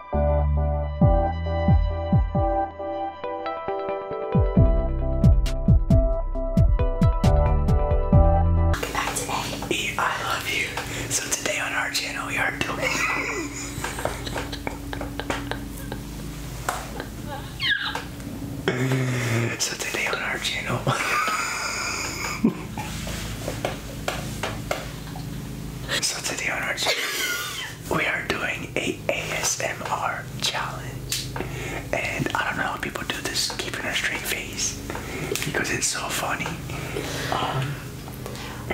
Welcome back today. E, I love you. So today on our channel we are doing So today on our channel So today on our channel we are doing a ASMR challenge. And I don't know how people do this, keeping a straight face, because it's so funny. Um,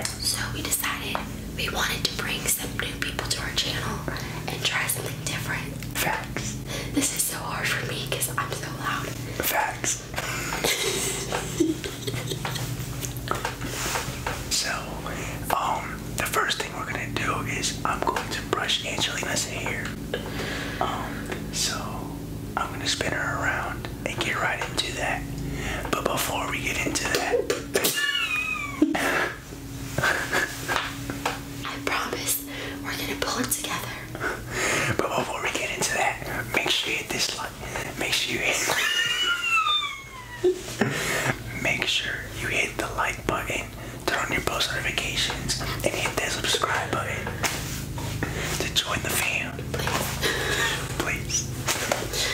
so we decided we wanted to bring some new people to our channel and try something different. Facts. This is so hard for me because I'm so loud. Facts. So, um, the first thing we're gonna do is I'm going to brush Angelina's hair. Um, so I'm gonna spin her around and get right into that. But before we get into that, I promise we're gonna pull it together. But before we get into that, make sure you hit Make sure you Make sure you hit the like button, turn on your post notifications, and hit that subscribe button to join the fam. Please. Please.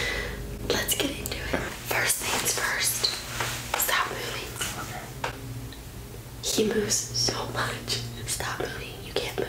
Let's get into it. First things first. Stop moving. He moves so much. Stop moving. You can't move.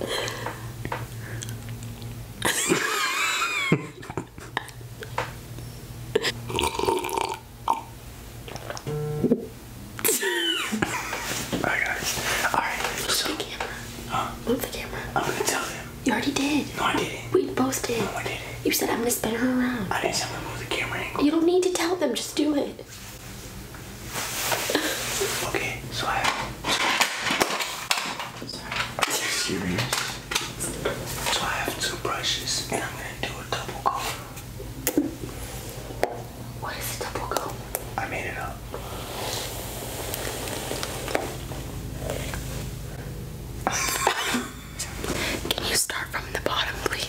Alright guys. Alright. So the camera. Move the camera. I'm gonna tell them. You already did. No, I didn't. We both did. No, I didn't. You said I'm gonna spin her around. I didn't say I'm to move the camera angle. You don't need to tell them, just do it. okay so I have Sorry. serious. So I have two brushes and I'm gonna do a double comb. What is a double comb? I made it up. Can you start from the bottom, please?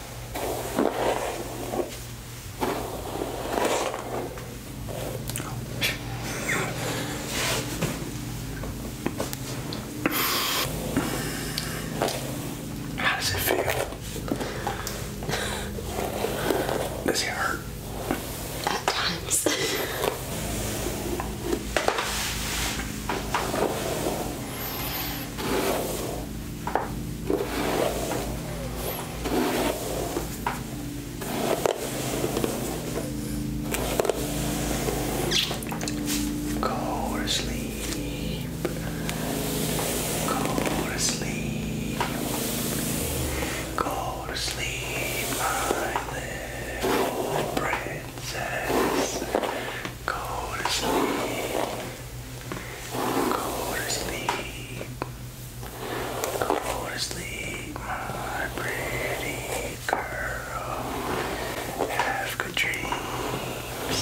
How does it feel? Does it hurt? At times. Go to sleep. Go to sleep. Go to sleep, my little princess. Go to sleep. Go to sleep. Go to sleep, my pretty girl. Have good dreams.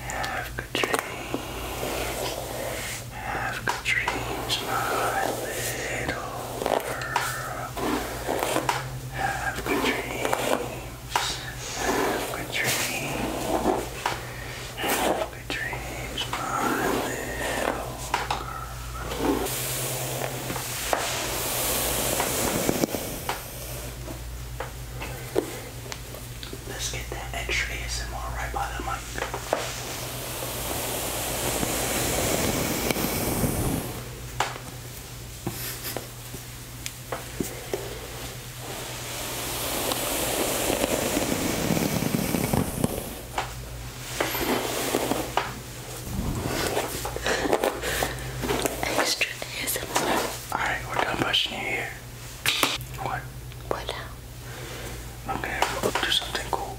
Have good dreams. Have good dreams, my little girl. Have good dreams. Good dreams. Good dreams, my little girl. Let's get that extra ASMR right by the mic. Extra ASMR. Alright, we're done brushing your hair. What? What now? I'm gonna do something cool.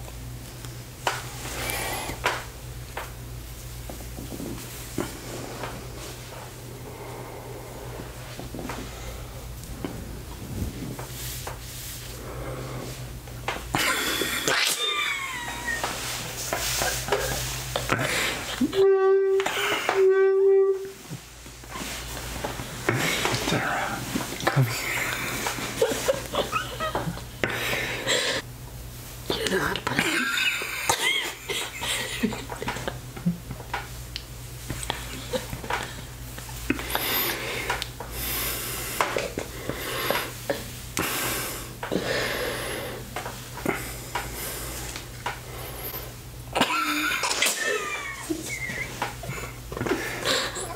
Sarah, come here. you know how to put it.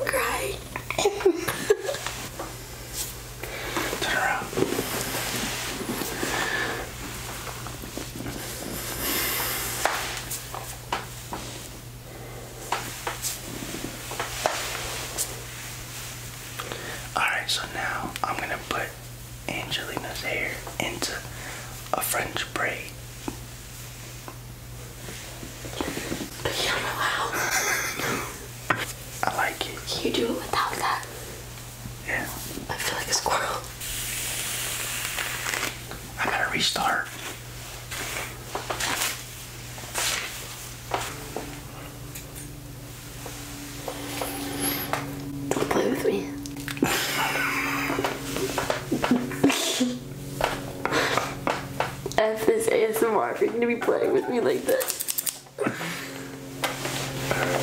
Great. Turn around. Alright, so now I'm gonna put Angelina's hair into a French braid. I like it. Can you do it without that? Yeah. I feel like a squirrel i got to restart. Don't play with me. F this ASMR for you to be playing with me like this.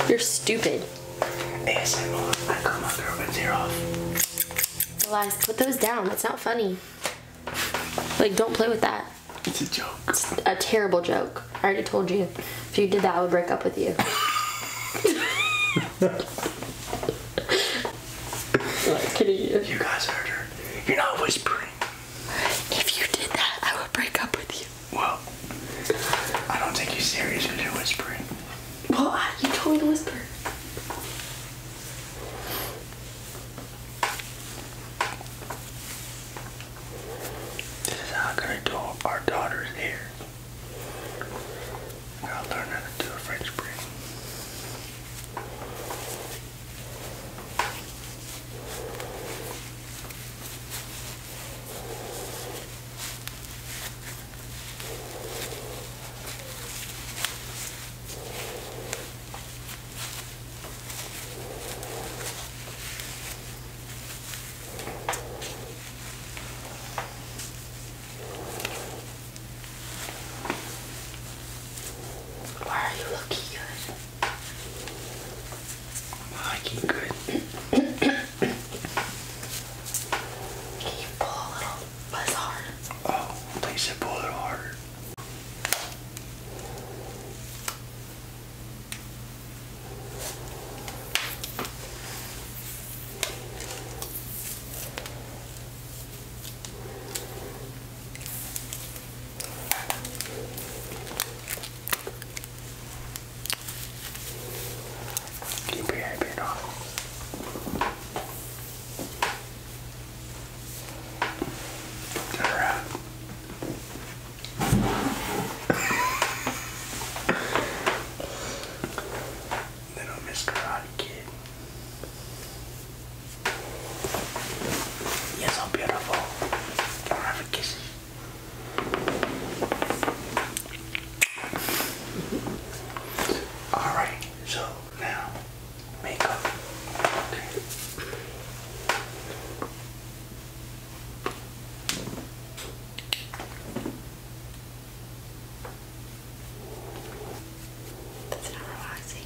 You're stupid. ASMR, I got my girlfriend's put those down. It's not funny. Like, don't play with that. It's a joke. It's a terrible joke. I already told you. If you did that, I would break up with you. you. guys heard her. You're not whispering. If you did that, I would break up with you. Well, I don't take you serious because you're whispering. Well, you told me to whisper. This is how I'm gonna do our daughter's hair. I gotta learn how to do a French braid. Why are you looking good? i good. Can you pull a little less hard? Oh, please said pull a little harder. Keep your head on. Turn Little Miss Karate Kid. You're so beautiful. Don't have a kiss. All right, so now makeup. Okay. That's not relaxing.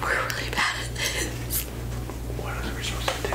We're really bad at this. What are we supposed to do?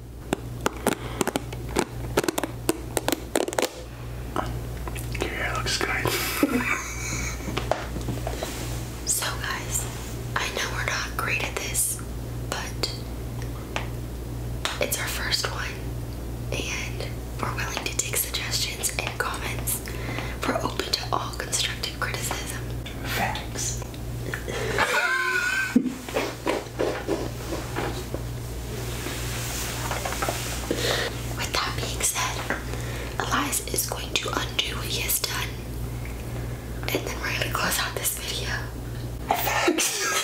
Your hair looks good. so, guys, I know we're not great at this, but it's our first one, and we're willing to take suggestions and comments. We're open to all constructive criticism. Facts. With that being said, Elias is going to undo what he has done. And then we're gonna close out this video.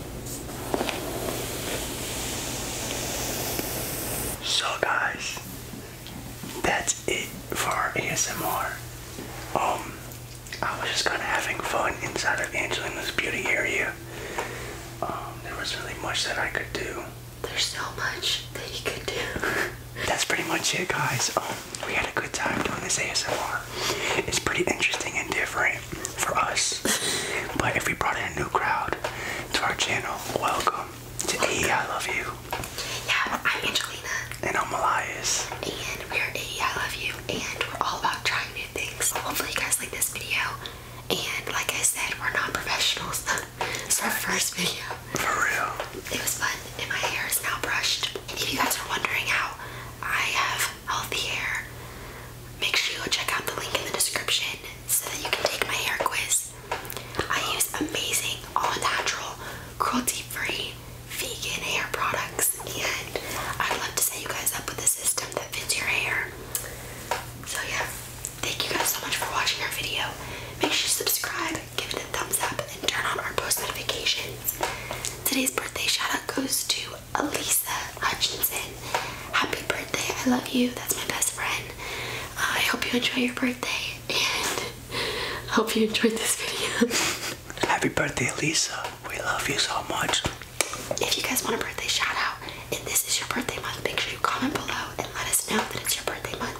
So guys, that's it for ASMR. Um, I was just kind of having fun inside of Angelina's beauty area. Um, there was really much that I could do. There's so much that you could do. That's pretty much it, guys. Um, we had a good time doing this ASMR. It's pretty interesting and different for us. But if we brought in a new crowd to our channel, welcome to AE Love You. Yeah, I'm Angelina. And I'm Elias. And we're AE Love You. And we're all about trying new things. hopefully you guys like this video. And like I said, we're not professionals. it's our first video. For real. It was fun and my hair is now brushed. if you guys are wondering how I have healthy hair, Make sure you check out the link in the description so that you can take my hair quiz. I use amazing, all natural, cruelty free, vegan hair products, and I'd love to set you guys up with a system that fits your hair. So, yeah, thank you guys so much for watching our video. Make sure you subscribe, give it a thumbs up, and turn on our post notifications. Today's birthday shout out goes to Alisa Hutchinson. Happy birthday. I love you. That's my best friend. Uh, I hope you enjoy your birthday and I hope you enjoyed this video. Happy birthday, Alisa! We love you so much. If you guys want a birthday shout out and this is your birthday month, make sure you comment below and let us know that it's your birthday month.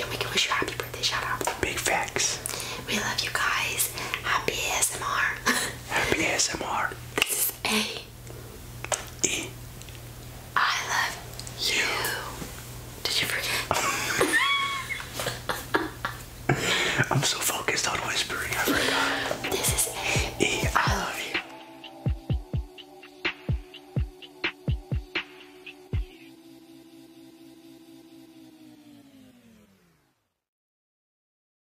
And we can wish you a happy birthday shout out. Big facts. We love you guys. Happy ASMR. Happy ASMR. This is A. E. I love you. Did you forget? I'm so focused on whispering, I forgot. This is A. E. I love you.